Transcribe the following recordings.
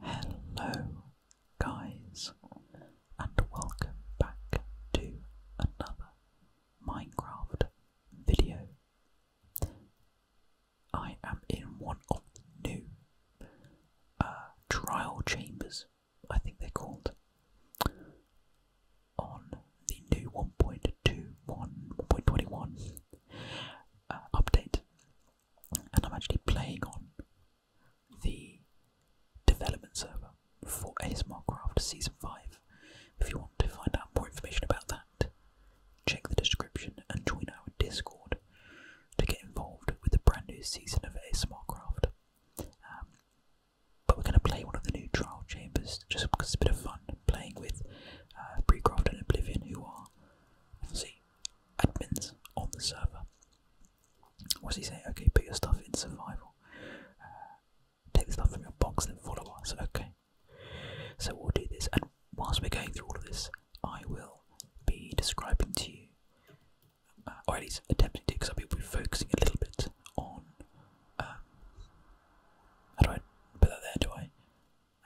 Hello, guys, and welcome back to another Minecraft video. I am in one of the new uh, trial chambers, I think they're called, on the new 1.21, 1.21, update, and I'm actually playing on the development server for ASMR Craft Season 5. If you want to find out more information about that, check the description and join our Discord to get involved with the brand new season of ASMR um, but we're going to play one of the new trial chambers just because it's a bit of fun playing with uh, Precraft and Oblivion, who are see admins on the server. What's he saying? Okay, put your stuff in survival. Uh, take the stuff from your box and follow us. Okay. So we'll do this, and whilst we're going through all of this, I will be describing to you, uh, or at least attempting to, because I'll be focusing a little bit on. Um, how do I put that there? Do I?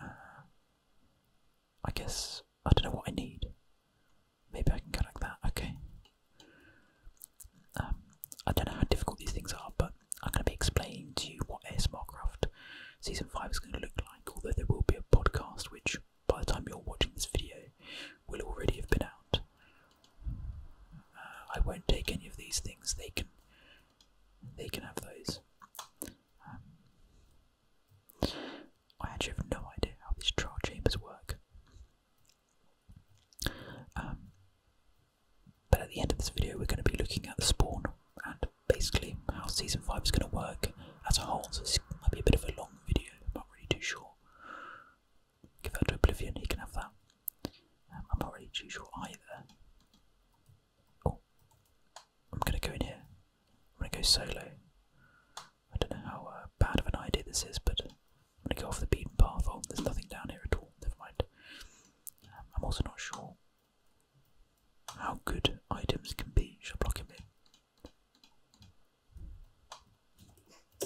Uh, I guess I don't know what I need. Maybe I can connect that. Okay. Um, I don't know how difficult these things are, but I'm going to be explaining to you what ASMR Craft Season 5 is going to look like, although there will be a podcast which, by the time you're watching this video, will already have been out. Uh, I won't take any of these things, they can, they can have those. Um, I actually have no idea how these trial chambers work. Um, but at the end of this video, we're going to be looking at the spawn and basically how season 5 is going to work as a whole. So, this might be a bit of a long video, I'm not really too sure. Give that to Oblivion, he can have that. Um, I'm not really too sure either. Oh, I'm gonna go in here. I'm gonna go solo. I don't know how uh, bad of an idea this is, but I'm gonna go off the beaten path. Oh, there's nothing down here at all. Never mind. Um, I'm also not sure how good items can be. Shall I block him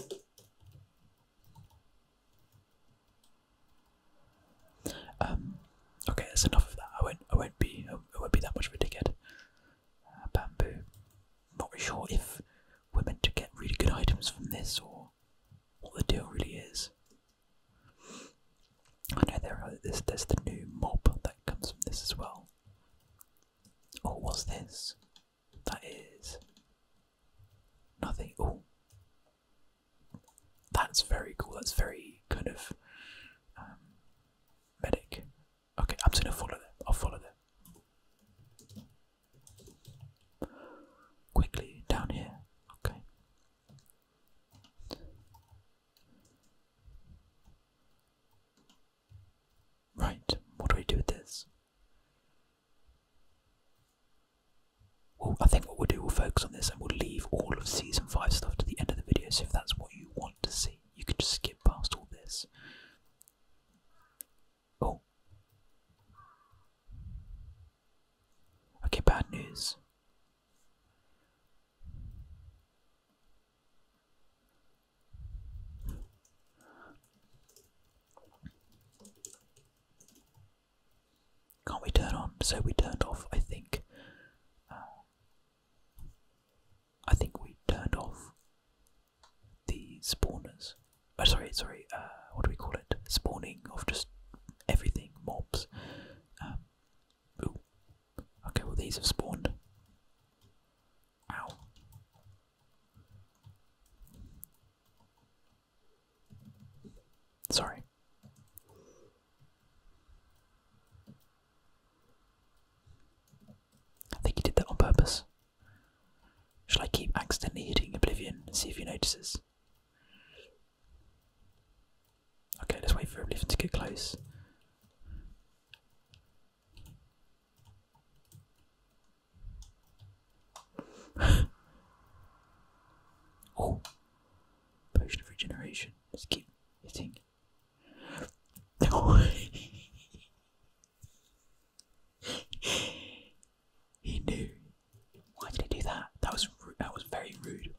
in? Um, okay, that's enough of that. I won't. I won't be. I won't be that much of a dickhead. Uh, bamboo. Not sure if we're meant to get really good items from this or what the deal really is. I know there are. There's, there's the new mob that comes from this as well. oh, what's this? That is nothing. Oh, that's very cool. That's very kind of um, medic. Okay, I'm just gonna follow them. I'll follow them. Quickly, down here. Okay. Right, what do we do with this? Well, I think what we'll do, we'll focus this, and we'll leave all of season 5 stuff to the end of the video. So if that's what you want to see, you can just skip past all this. Oh. Okay, bad news. Can't we turn on? So we turned off, I think. Uh, I think we turned off the spawners. Oh, sorry, sorry. Uh, what do we call it? Spawning of just everything, mobs. Um, okay, well these have spawned. Ow. Sorry. I think you did that on purpose. Shall I keep accidentally hitting Oblivion and see if he notices? Okay, let's wait for Oblivion to get close. Oh, potion of regeneration. Let's keep hitting. he knew. Why did he do that? That was that was very rude.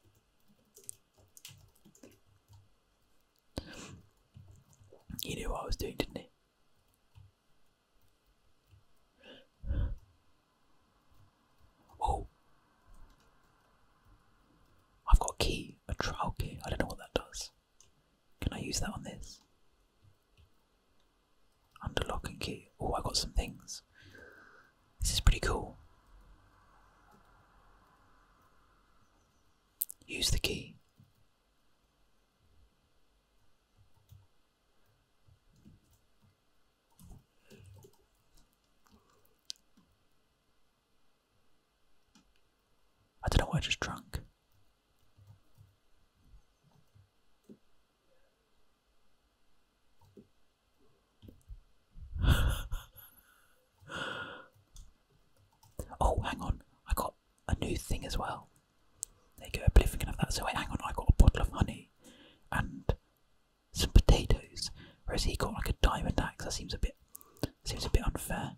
He knew what I was doing, didn't he? Oh. I've got a key, a trial key. I don't know what that does. Can I use that on this? Under lock and key. Oh, I got some things. This is pretty cool. Use the key. I don't know what I just drank. oh, hang on. I got a new thing as well. They you go, oblivion of that. So wait, hang on, I got a bottle of honey and some potatoes, whereas he got like a diamond axe. That seems a bit seems a bit unfair.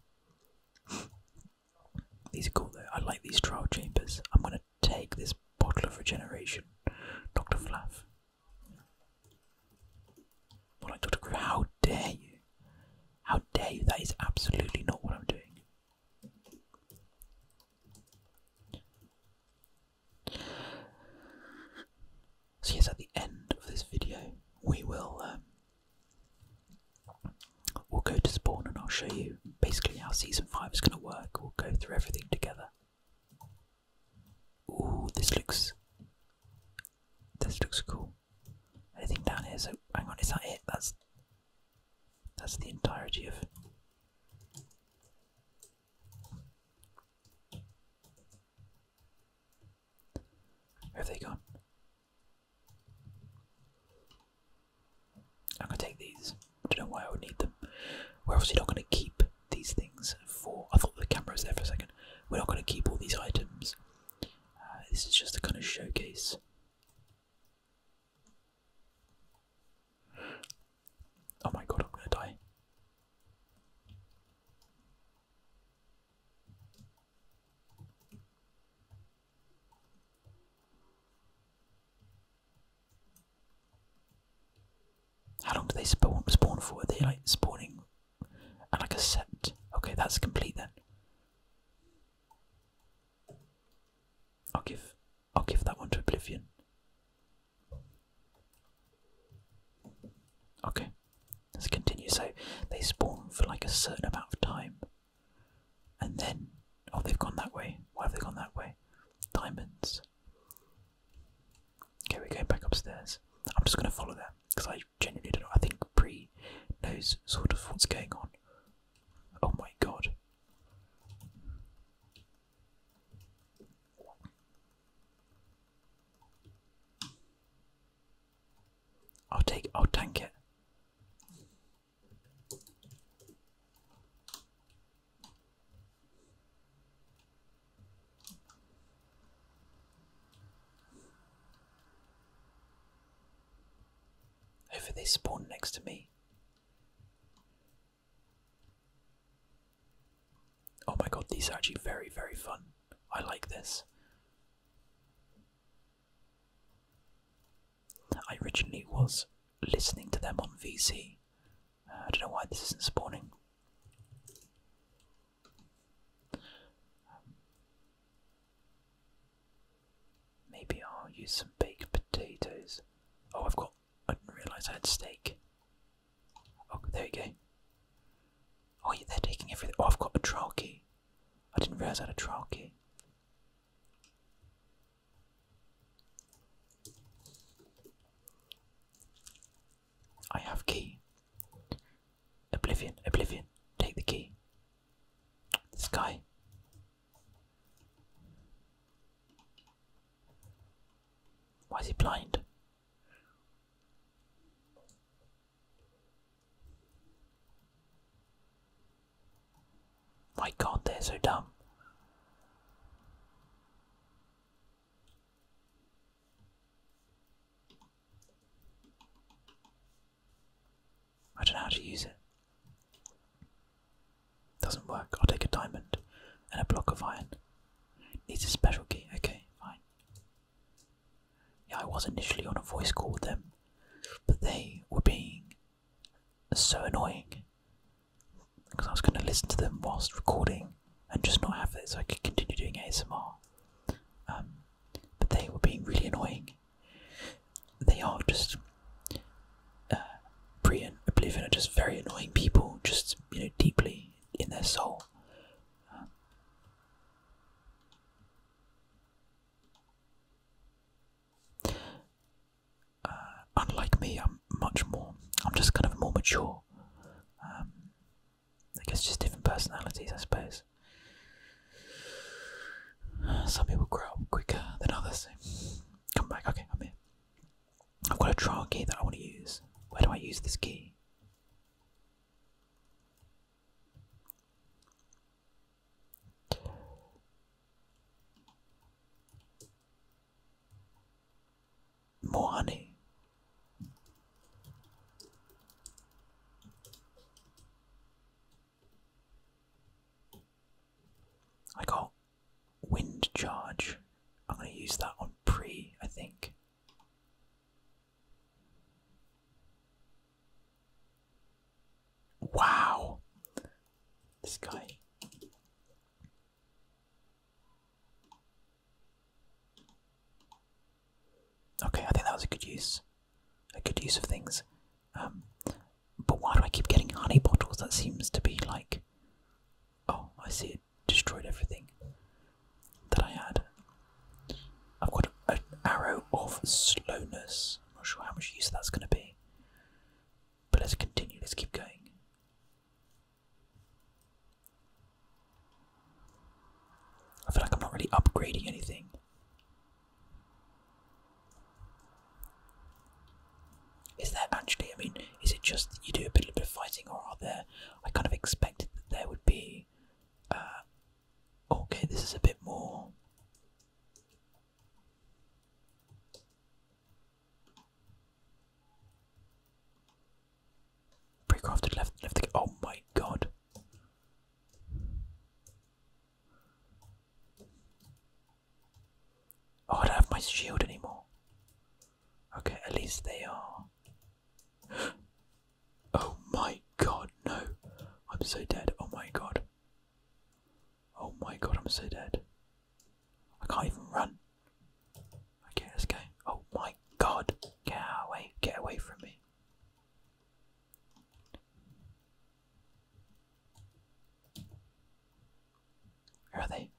These are cool though. I like these trial chambers. I'm gonna take this bottle of regeneration, Doctor Flaff. Well, Doctor Crew, how dare you? How dare you? That is absolutely not what I'm doing. So yes, at the end of this video, we will um, we'll go to spawn and I'll show you basically how season five is going to work. We'll go through everything together. Ooh, this looks this looks cool. Anything down here? So hang on, is that it? That's that's the entirety of. Where have they gone? I'm gonna take these. I don't know why I would need them. We're obviously not gonna keep these things for. I thought the camera was there for a second. We're not gonna keep all these items. Uh, this is just a kind of showcase. Oh my god, I'm gonna die. How long do they spawn spawn for? Are they like spawning and like a set? Okay, that's complete then. I'll give I'll give that one to Oblivion. Okay. Let's continue. So they spawn for like a certain amount of time. And then oh they've gone that way. Why have they gone that way? Diamonds. Okay, we're going back upstairs. I'm just gonna follow them because I genuinely don't know. I think Pre knows sort of what's going on. Oh my god. I'll take I'll tank it. Hopefully they spawn next to me. Oh my god, these are actually very, very fun. I like this. I originally was listening to them on VC. Uh, I don't know why this isn't spawning. maybe I'll use some baked potatoes. Oh, I've got. I didn't realise I had steak. Oh, there we go. Oh, yeah, they're taking everything. Oh, I've got a trial key. I didn't realize I had a trial key. I have key. Oblivion, Oblivion, take the key. This guy. Why is he blind? My god, they're so dumb. I don't know how to use it. Doesn't work. I'll take a diamond and a block of iron. Needs a special key. Okay, fine. I was initially on a voice call with them, but they were being so annoying because I was going to listen to them whilst recording and just not have it so I could continue doing ASMR. Um, but they were being really annoying. They are just. Pre and Oblivion are just very annoying people, just, you know, deeply in their soul. Uh, unlike me, I'm much more. I'm just kind of more mature. Um, I guess just different personalities, I suppose. some people grow up quicker than others. Come back. Okay, I'm here. I've got a trial key that I want to use. Where do I use this key? More honey. I got wind charge. I'm going to use that on pre, I think. Wow. This guy. Okay, I think that was a good use. A good use of things. Um, but why do I keep getting honey bottles? That seems to be like. Oh, I see it destroyed everything that I had. I've got an arrow of slowness. I'm not sure how much use that's going to be. But let's continue, let's keep going. I feel like I'm not really upgrading anything. Is there actually, I mean, is it just that you do a bit, a bit of fighting, or are there? I kind of expected that there would be uh, okay, this is a bit more. Precrafted left, left Oh my god. Oh, I don't have my shield anymore. Okay, at least they are Oh my god, no. I'm so dead. Oh my god. Oh my god, I'm so dead. I can't even run. Okay, let's go. Oh my god. Get away. Get away from me. Where are they?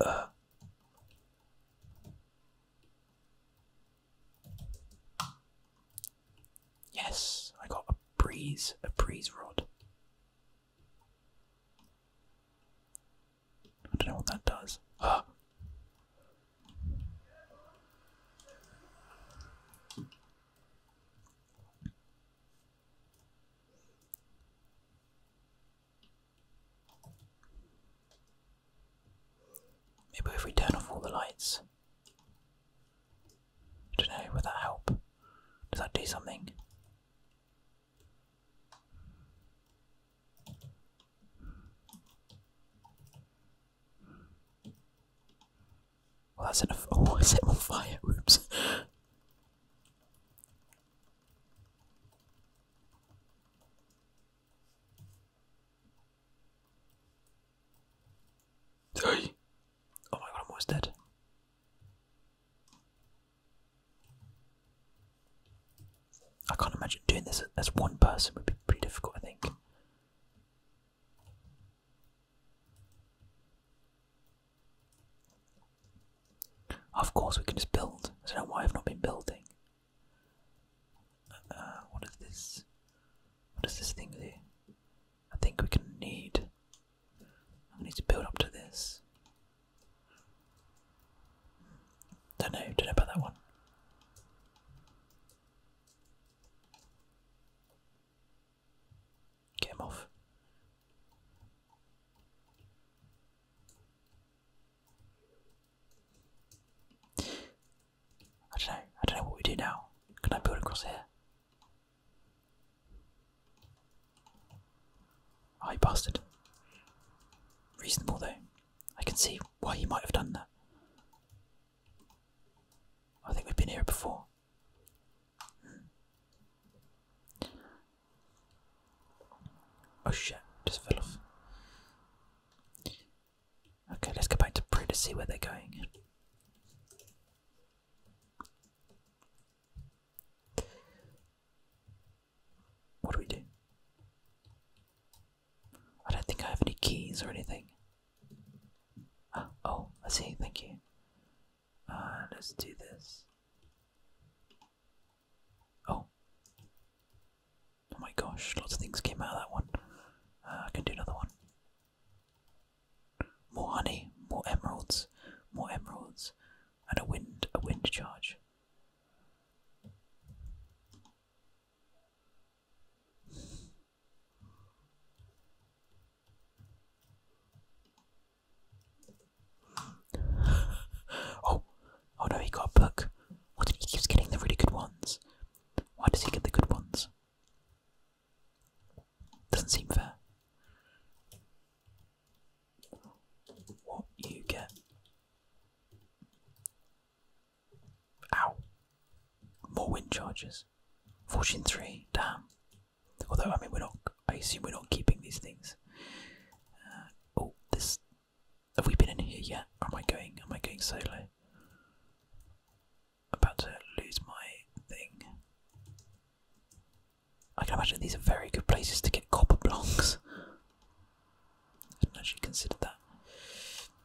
Uh. yes, I got a breeze, a breeze rod. I don't know what that does. Ah! Maybe if we turn off all the lights. don't know, would that help? Does that do something? Well, that's enough. Oh, I set on fire. Oops. Hey! Oh my god, I'm almost dead. I can't imagine doing this as one person would be pretty difficult, I think. Of course, we can just build. I don't know why I've not been building. Uh, what is this? What is this thing I think we can need. I need to build up to this. Don't know. Don't know about that one. Get off. I don't know. I don't know what we do now. Can I build across here? I oh, bastard. Reasonable though. I can see why he might have done that. I think we've been here before. Hmm. Oh shit, just fell off. Okay, let's go back to Prue to see where they're going. What do we do? I don't think I have any keys or anything. Ah, oh, I see, thank you. Uh, let's do this. Oh. Oh my gosh, lots of things came out of that one. Uh, I can do another one. More honey, more emeralds, more emeralds, and a wind, a wind charge. oh, Oh no, he got a book. Why did he keeps getting the really good ones? Why does he get the good ones? Doesn't seem fair. What you get? Ow! More wind charges. Fortune three. Damn. Although I mean, we're not. I assume we're not keeping these things. Uh, oh, this have we been in here yet? Or am I going? Am I going solo? About to lose my thing. I can imagine these are very good places to get copper blocks. I didn't actually consider that.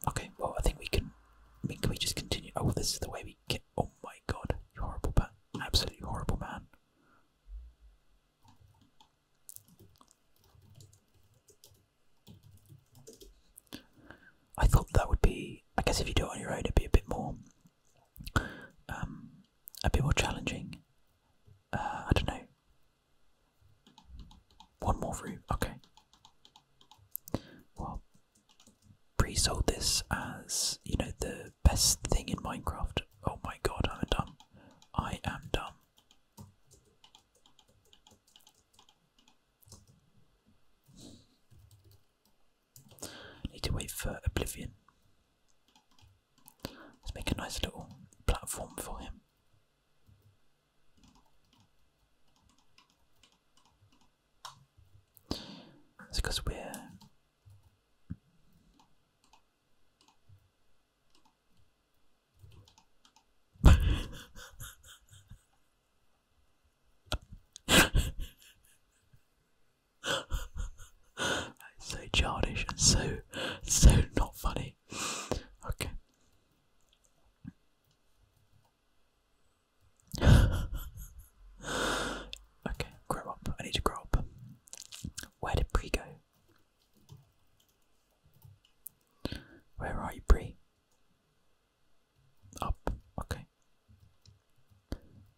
Okay, well I think we can. I mean, can we just continue? Oh, this is the way we get. Oh my god, you horrible man! Absolutely horrible man! I thought that would be. I guess if you do it on your own, it'd be a bit more, um, a bit more challenging. Uh, I don't know. One more room, okay. Well, Bree sold this as you know the best thing in Minecraft. Oh my god, I'm dumb. I am dumb. Need to wait for Oblivion. Let's make a nice little platform for him. It's because we're so childish so so not funny. Okay. okay, grow up. I need to grow up. Where did Pre go? Where are you, Bree? Up, okay.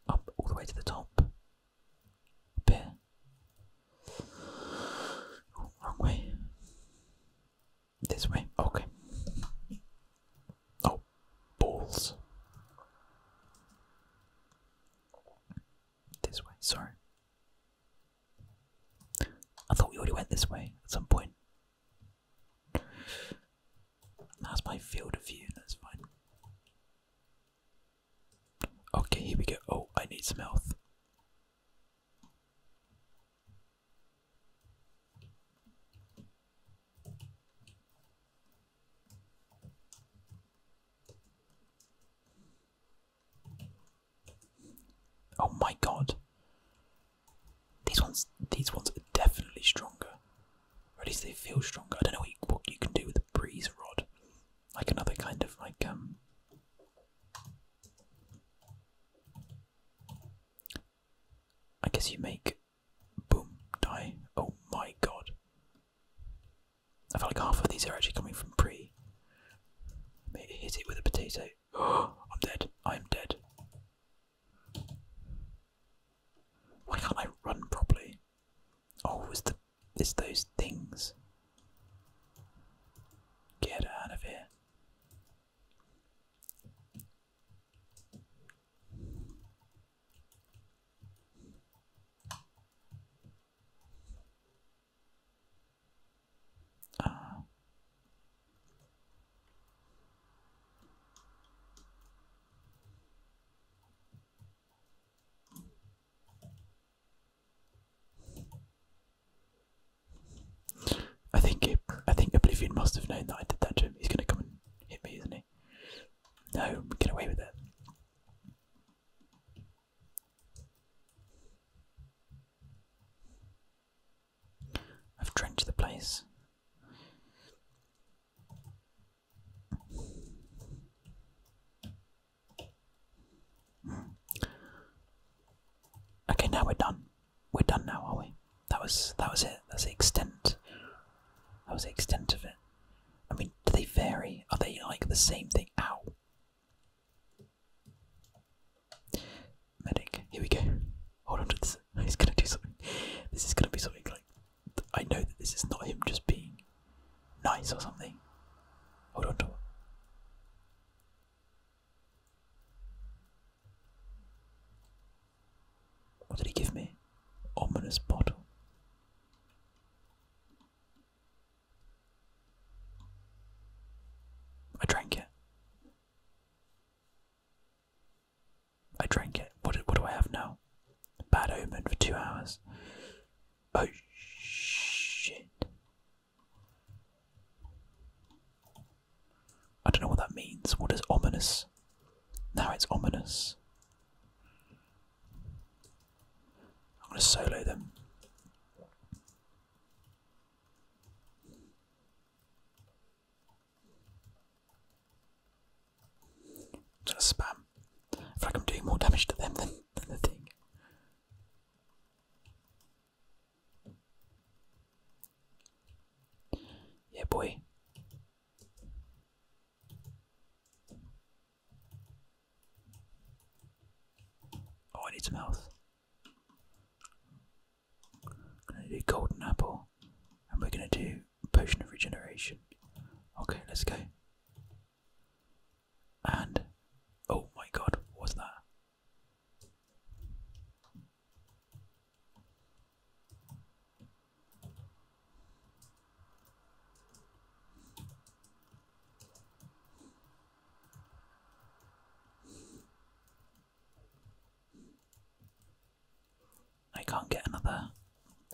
Up all the way to the top. Up wrong way. This way, okay. Oh, balls. This way, sorry. I thought we already went this way at some point. That's my field of view, that's fine. Okay, here we go. Oh, I need some health. Oh my god. These ones these ones are definitely stronger. Or at least they feel stronger. I don't know what you, what you can do with a breeze rod. Like another kind of like um I guess you make boom die. Oh my god. I feel like half of these are actually coming from pre Hit it with a potato. I'm dead. I'm dead. Why can't I run properly? Oh, it's the it's those things. Get out of here. Uh, I think I think Oblivion must have known that I did that to him. He's gonna come and hit me, isn't he? No, get away with it. I've drenched the place. Okay, now we're done. We're done now, are we? That was that was it. That's the extent. That was the extent of it. I mean, do they vary? Are they like the same thing? Ow. Medic, here we go. Hold on to this. He's gonna do something. This is gonna be something like. I know that this is not him just being nice or something. Hold on to What did he give me? Ominous bottle. I drank it. I drank it. What do, what do I have now? Bad omen for two hours. Oh shit. I don't know what that means. What is ominous? Now it's ominous. I'm going to solo them. Just spam. I I'm doing more damage to them than the thing. Yeah, boy. Oh, I need some health going to do golden apple and we're going to do potion of regeneration. Okay, let's go. And oh my god, what's that? I can't get another.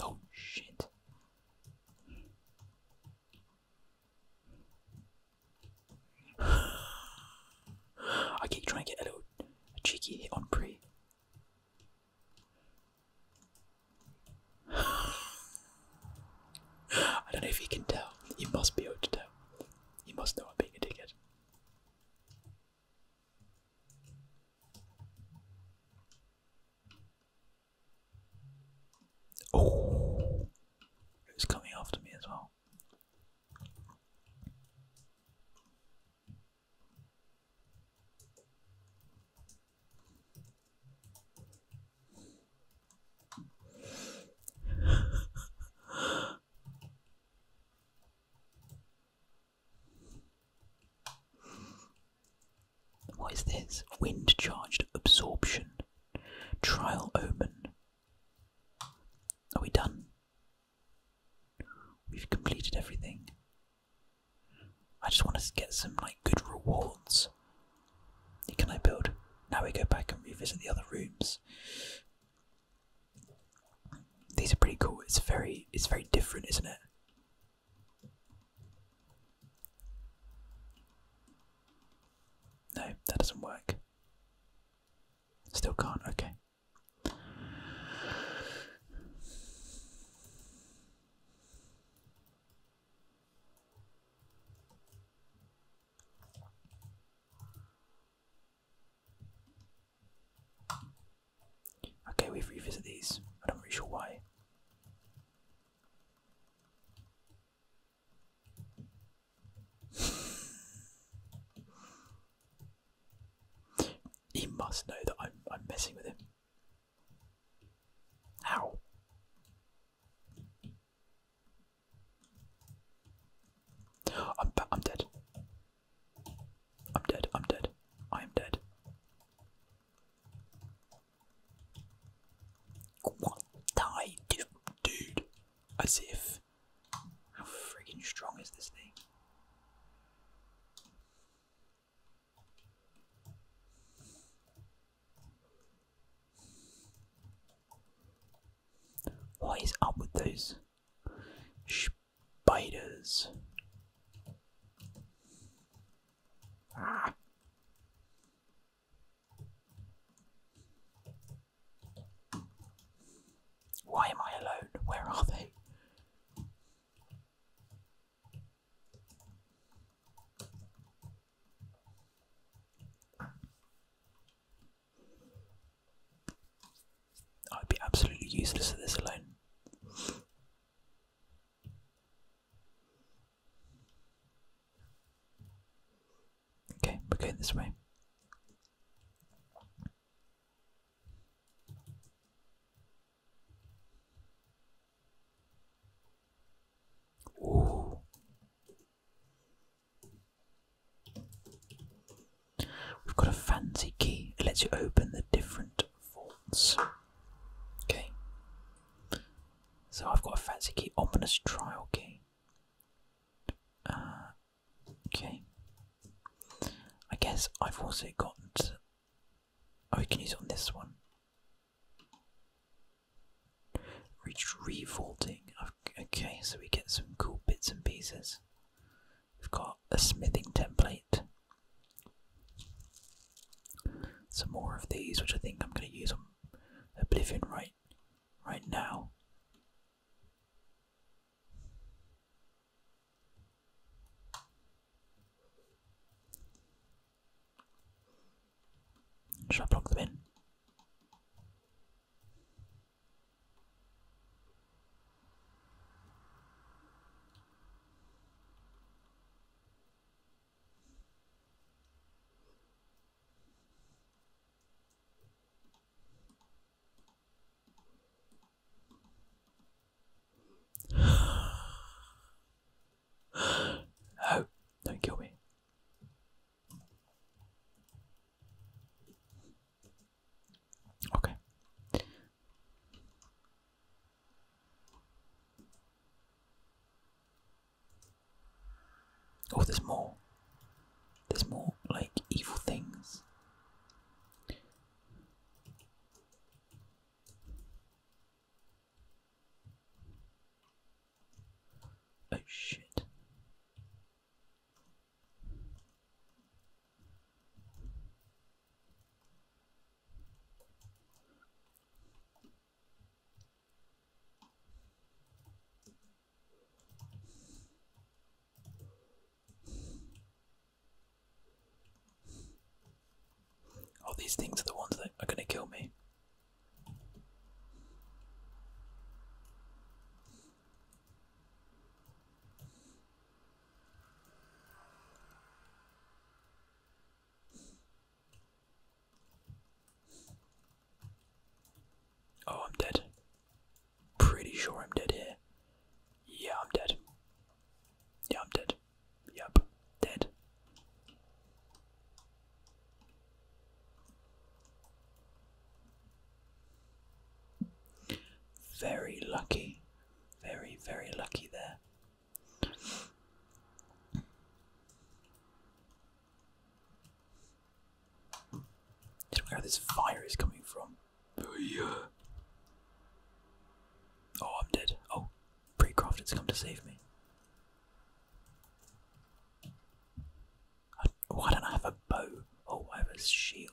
Oh shit. I keep trying to get a little cheeky hit on pre. I don't know if you can tell. You must be able to tell. You must know I'm being a dickhead. Oh, it was coming after me as well. What is this? Wind charged absorption. Trial omen. Are we done? We've completed everything. I just want to get some like good rewards can I build? Now we go back and revisit the other rooms. These are pretty cool. It's very, it's very different, isn't it? No, that doesn't work. Still can't. Okay. Okay, we've revisited these. I'm not really sure why. he must know that I'm I'm messing with him. How? I'm, dead. I'm dead. I'm dead. I am dead. What die, dude? Dude, as if. How freaking strong is this thing? What is up with those spiders? Ah. Why am I alone? Where are they? I'd be absolutely useless at this alone. Okay, we're going this way. We've got a fancy key. It lets you open the different vaults. Okay. So I've got a fancy key. Ominous trial key. Uh, okay. I guess I've also got. Oh, we can use it on this one. Reached revolting. Okay, so we get some cool bits and pieces. We've got a smithing template. Some more of these, which I think I'm going to use on Oblivion right, right now. Should I plug them in? no, don't kill me. Okay. Oh, there's more. There's more, like, evil things. Oh shit. Oh, these things are the ones that are going to kill me. Oh, I'm dead. Pretty sure I'm dead here. Yeah, I'm dead. Yeah, I'm dead. Yep, dead. Very lucky, very, very lucky there. I do know this fire is coming from. Oh, I'm dead. Oh, Pre-Crofted's come to save me why don't I have a bow or I have a shield?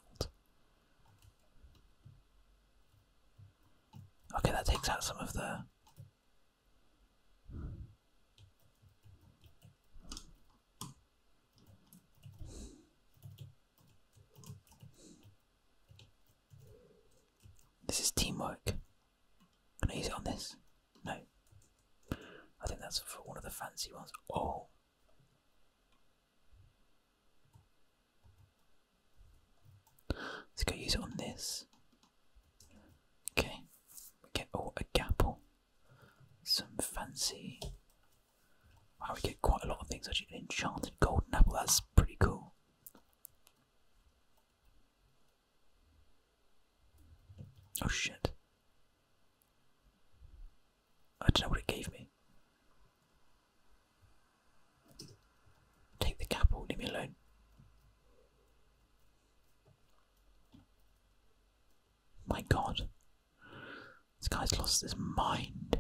Okay, that takes out some of the. This is teamwork. i use it on this. No. I think that's for one of the fancy ones. Oh. Let's go use it on this. Okay. We get oh a gapple. Some fancy Wow, we get quite a lot of things actually. An enchanted golden apple, that's pretty cool. Oh shit. I don't know what it gave me. Take the cap or leave me alone. My god. This guy's lost his mind.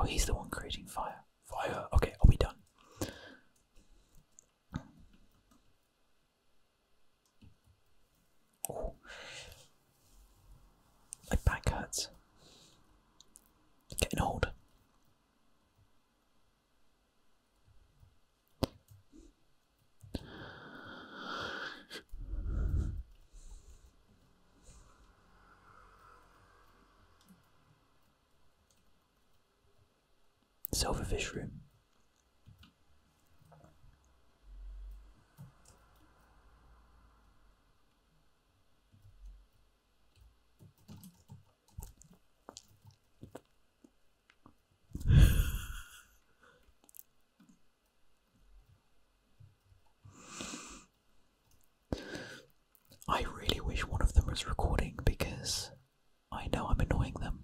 Oh, he's the one creating fire. Fire. Okay, are we done? Oh. My back hurts. getting old. Silverfish room. I really wish one of them was recording because I know I'm annoying them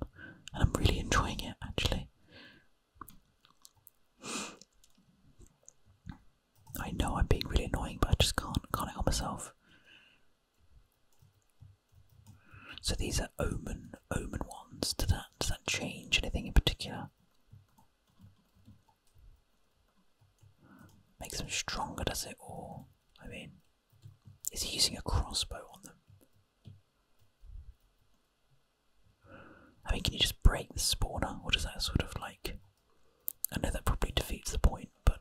and I'm really enjoying it actually. I know I'm being really annoying, but I just can't can't help myself. So these are omen omen ones. Does that does that change anything in particular? Makes them stronger, does it? Or I mean, is he using a crossbow on them? I mean, can you just break the spawner, or does that sort of like. I know that probably defeats the point, but.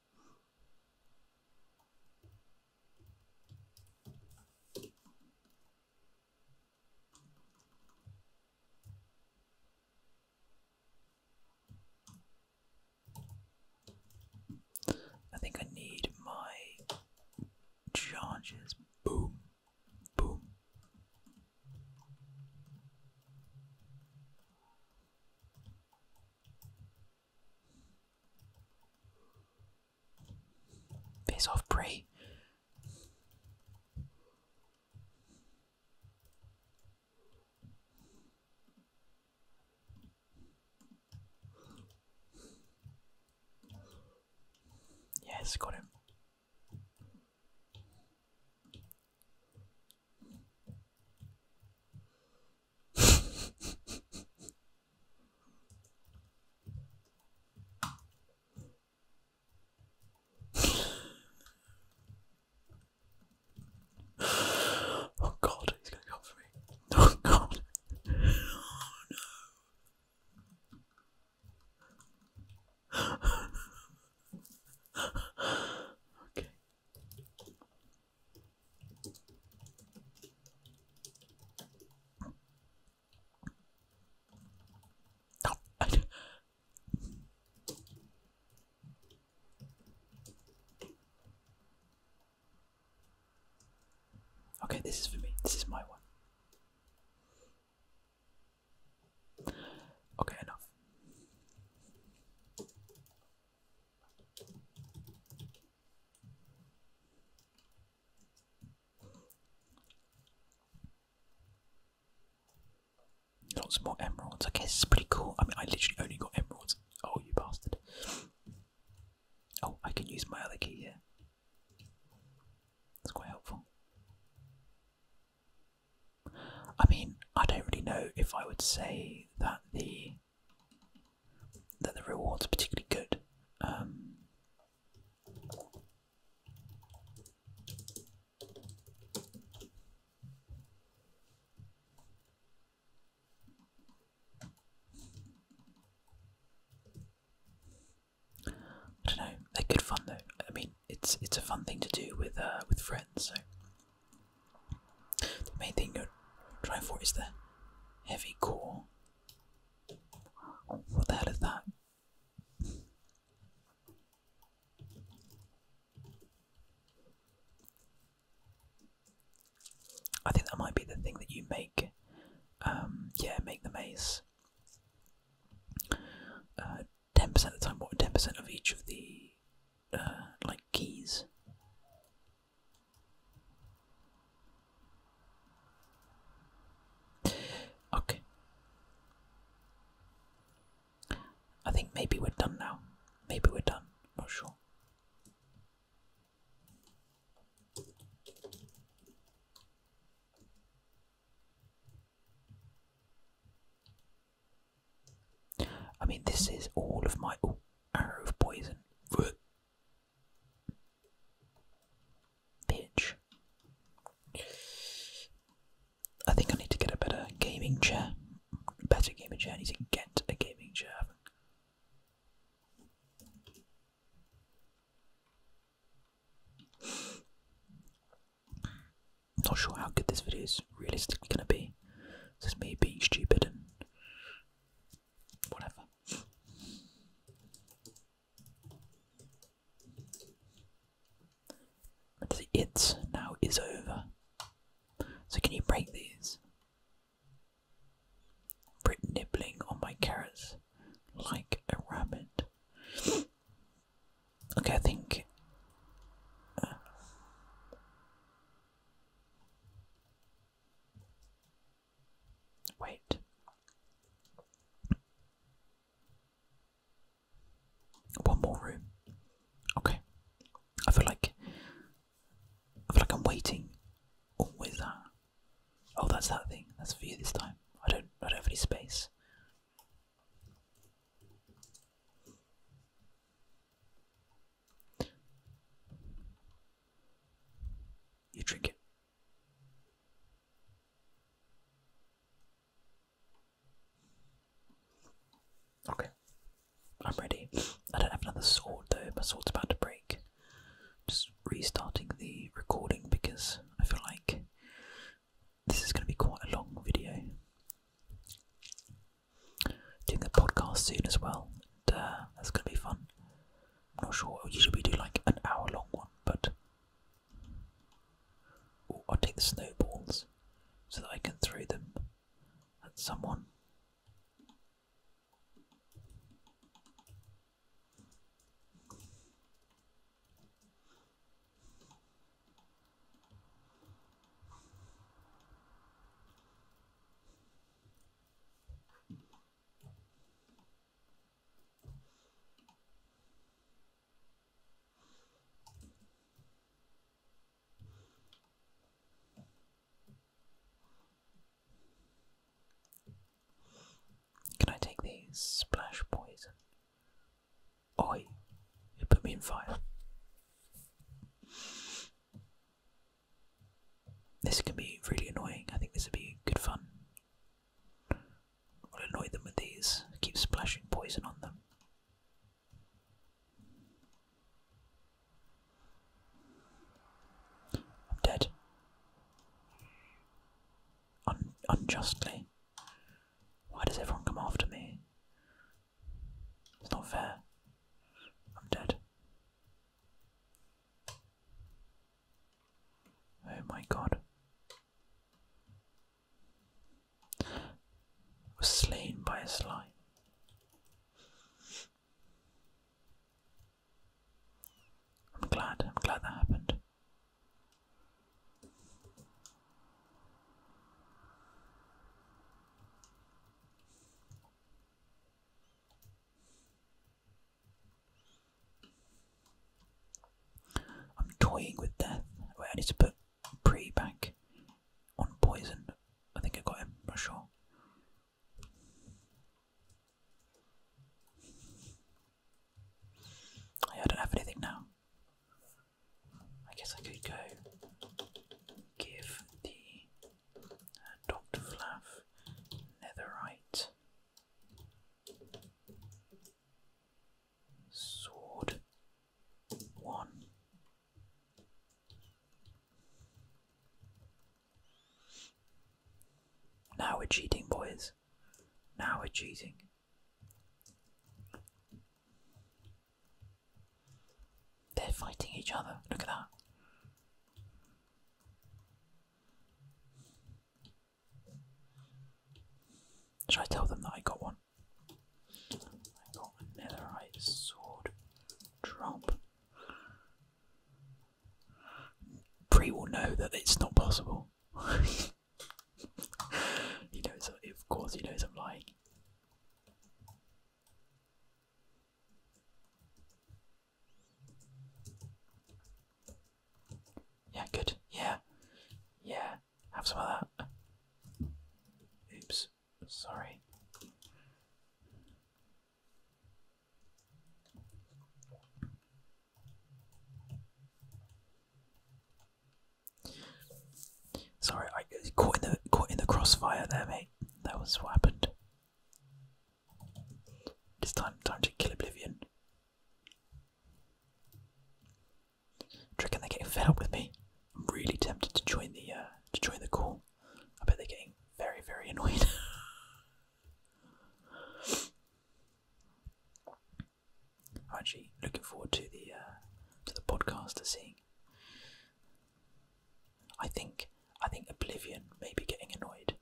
I think I need my charges. Boom, boom. Face off, prey. Yes, got him oh god, he's gonna come for me. Oh god. Oh no. okay. okay, this is for me. This is my one. Okay, enough. Lots more emeralds. I guess it's pretty cool. I mean, I literally only got emeralds. Oh, you bastard. Oh, I can use my other key here. That's quite helpful. I mean, I don't really know if I would say that the that the rewards are particularly good. Um, I don't know. They're good fun though. I mean, it's it's a fun thing to do with uh, with friends. So the main thing you're trying for is the heavy core what the hell is that? I think that might be the thing that you make. Um, yeah, make the maze. Uh, ten percent of the time, what ten percent of each of the uh, like keys. Okay. I think maybe we're done now. Maybe we're done. i not sure. I mean, this is all of my ooh, arrow of poison. Bitch. I think I need to get a better gaming chair. Better gaming chair. need to get a gaming chair. not sure how good this video is realistically going to be. This is me being stupid and whatever. The it now is over. So can you break these? Brit nibbling on my carrots like a rabbit. Okay, I think. Uh, Wait. One more room. Okay. I feel like I feel like I'm waiting. Oh, that? Uh, oh, that's that thing. That's for you this time. I don't. I don't have space. You drink it. Okay. I'm ready. I don't have another sword though, my sword's about to break. Just restarting the recording because I feel like this is going to be quite a long video. Doing a podcast soon as well, and that's going to be fun. I'm not sure. Usually we do like an hour long one, but I'll take the snowballs so that I can throw them at someone. Can I take these? Splash poison. Oi! It put me in fire. This can be really annoying. I think this would be good fun. I'll annoy them with these. Keep splashing poison on them. I'm dead. unjustly. Why does everyone come after me? It's not fair. I'm dead. Oh my god. Was slain by a slime. I'm glad, I'm glad that happened. I'm toying with death. Wait, I need to put pre back on poison. I think I got him, I'm sure. I don't have anything now. I guess I could go give the uh, Dr. Flav netherite. Sword one. Now we're cheating, boys. Now we're cheating. They're fighting each other. Look at that. Should I tell them that I got one? I got a netherite sword drop. Bree will know that it's not possible. he knows, of course, he knows I'm lying. Yeah, good. Yeah. Yeah. Have some of that. Oops. Sorry. Sorry, I caught in the caught in the crossfire there, mate. That was what happened. It's time time to kill Oblivion. Tricking they getting fed with me. I'm really tempted to join the uh, to join the call. I bet they're getting very, very annoyed. I'm actually looking forward to the uh, to the podcast to seeing. I think I think Oblivion may be getting annoyed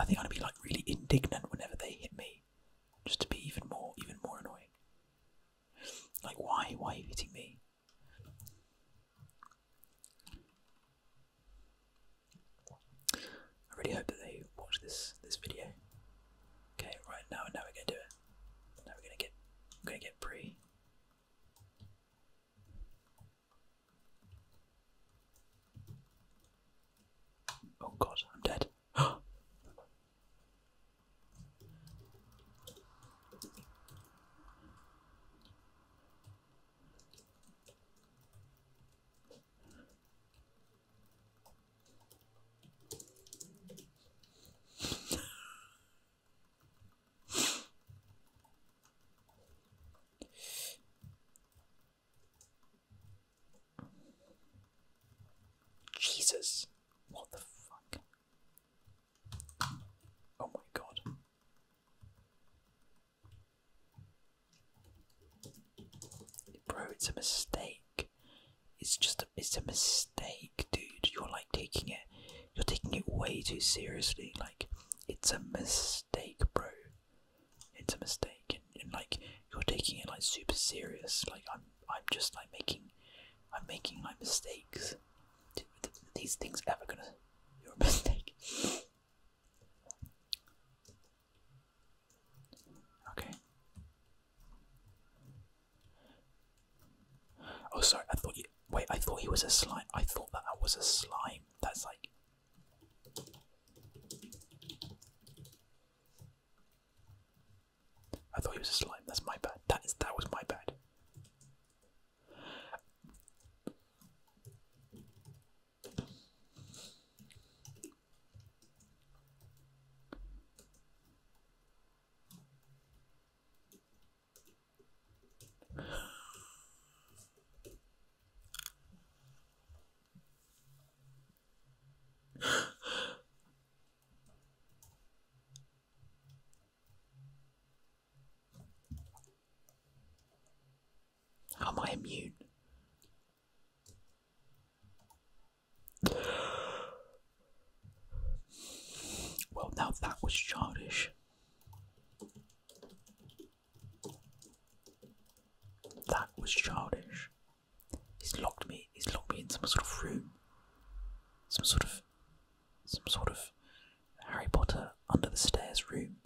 I think i am gonna be like really indignant whenever they hit me, just to be even more, even more annoying. Like, why, why are you hitting me? I really hope that they watch this this video. Okay, right now now we're gonna do it. Now we're gonna get we're gonna get Bree. Oh god, I'm dead. Jesus, what the fuck? Oh my god. Bro, it's a mistake. It's just a, it's a mistake, dude. You're like taking it, you're taking it way too seriously. Like, it's a mistake, bro. It's a mistake, and, like you're taking it like super serious. Like I'm, I'm just like making, I'm making my mistakes. these things ever gonna? You're a mistake. Okay. Oh, sorry. I thought you. Wait, I thought he was a slime. I thought that I was a slime. That's like. I thought he was a slime. That's my bad. That is that was my bad am I immune? Well, now that was childish. That was childish. He's locked me. He's locked me in some sort of room. Some sort of, some sort of Harry Potter under the stairs room.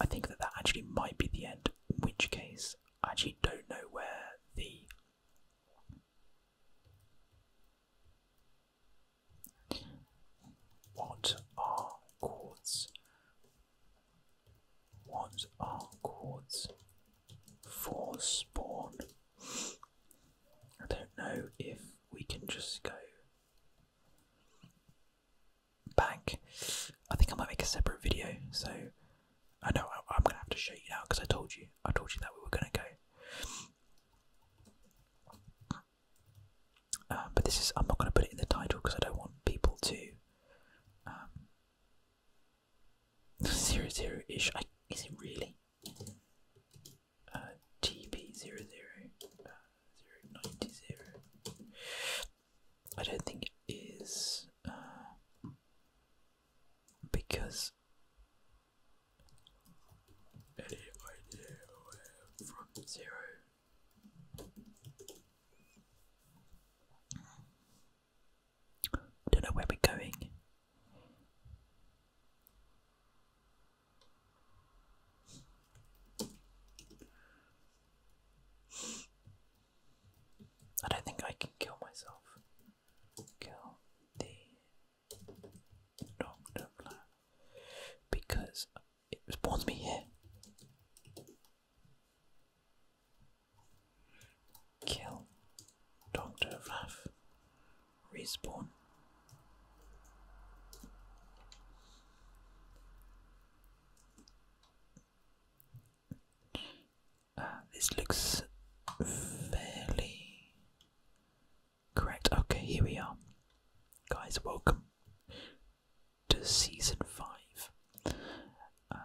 I think that that actually might be the end, in which case I actually don't know where the what are chords? What are chords for spawn? I don't know if we can just go back. I think I might make a separate video. So I know I, am gonna have to show you now because I told you I told you that we were gonna go. Um, but this is I'm not gonna put it in the title because I don't want people to. Um, zero zero ish. I, is it really? Uh, TB I don't think it is uh, because I don't know where we're going. I don't think I can kill myself. Kill the Doctor Flower because it spawns me here. Kill Doctor Flaff. Respawn. Uh, this looks fairly correct. Okay, here we are. Guys, welcome to season 5. Uh,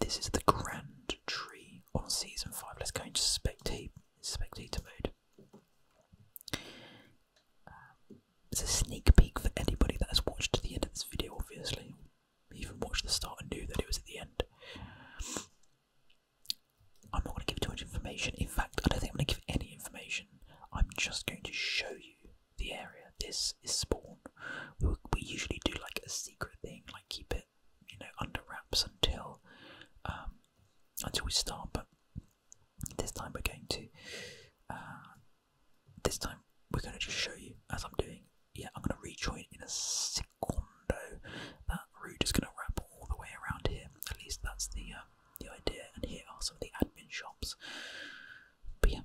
this is the grand tree on season 5. Let's go into spectate, spectator mode. Um, it's a sneak peek for anybody that has watched to the end of this video, obviously. Even watched the start and knew that it was at the end. I'm not going to give too much information. In fact, I don't think I'm going to give any information. I'm just going to show you the area. This is spawn. We, usually do like a secret thing, like keep it, you know, under wraps until um, until we start. But this time we're going to uh, this time we're going to just show you as I'm doing. Yeah, I'm going to rejoin in a secondo. That route is going to wrap all the way around here. At least that's the um, the idea. And here are some of the admin shops. But yeah,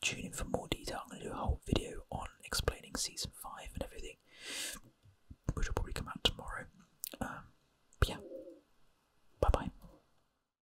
tune in for more detail. I'm going to do a whole video on explaining season five and everything, which will probably come out tomorrow. Um, but yeah, bye bye.